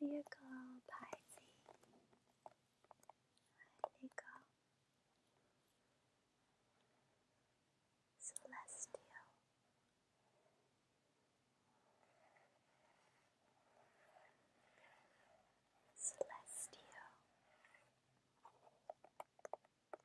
呢一個牌子係呢個 Celestial。Celestial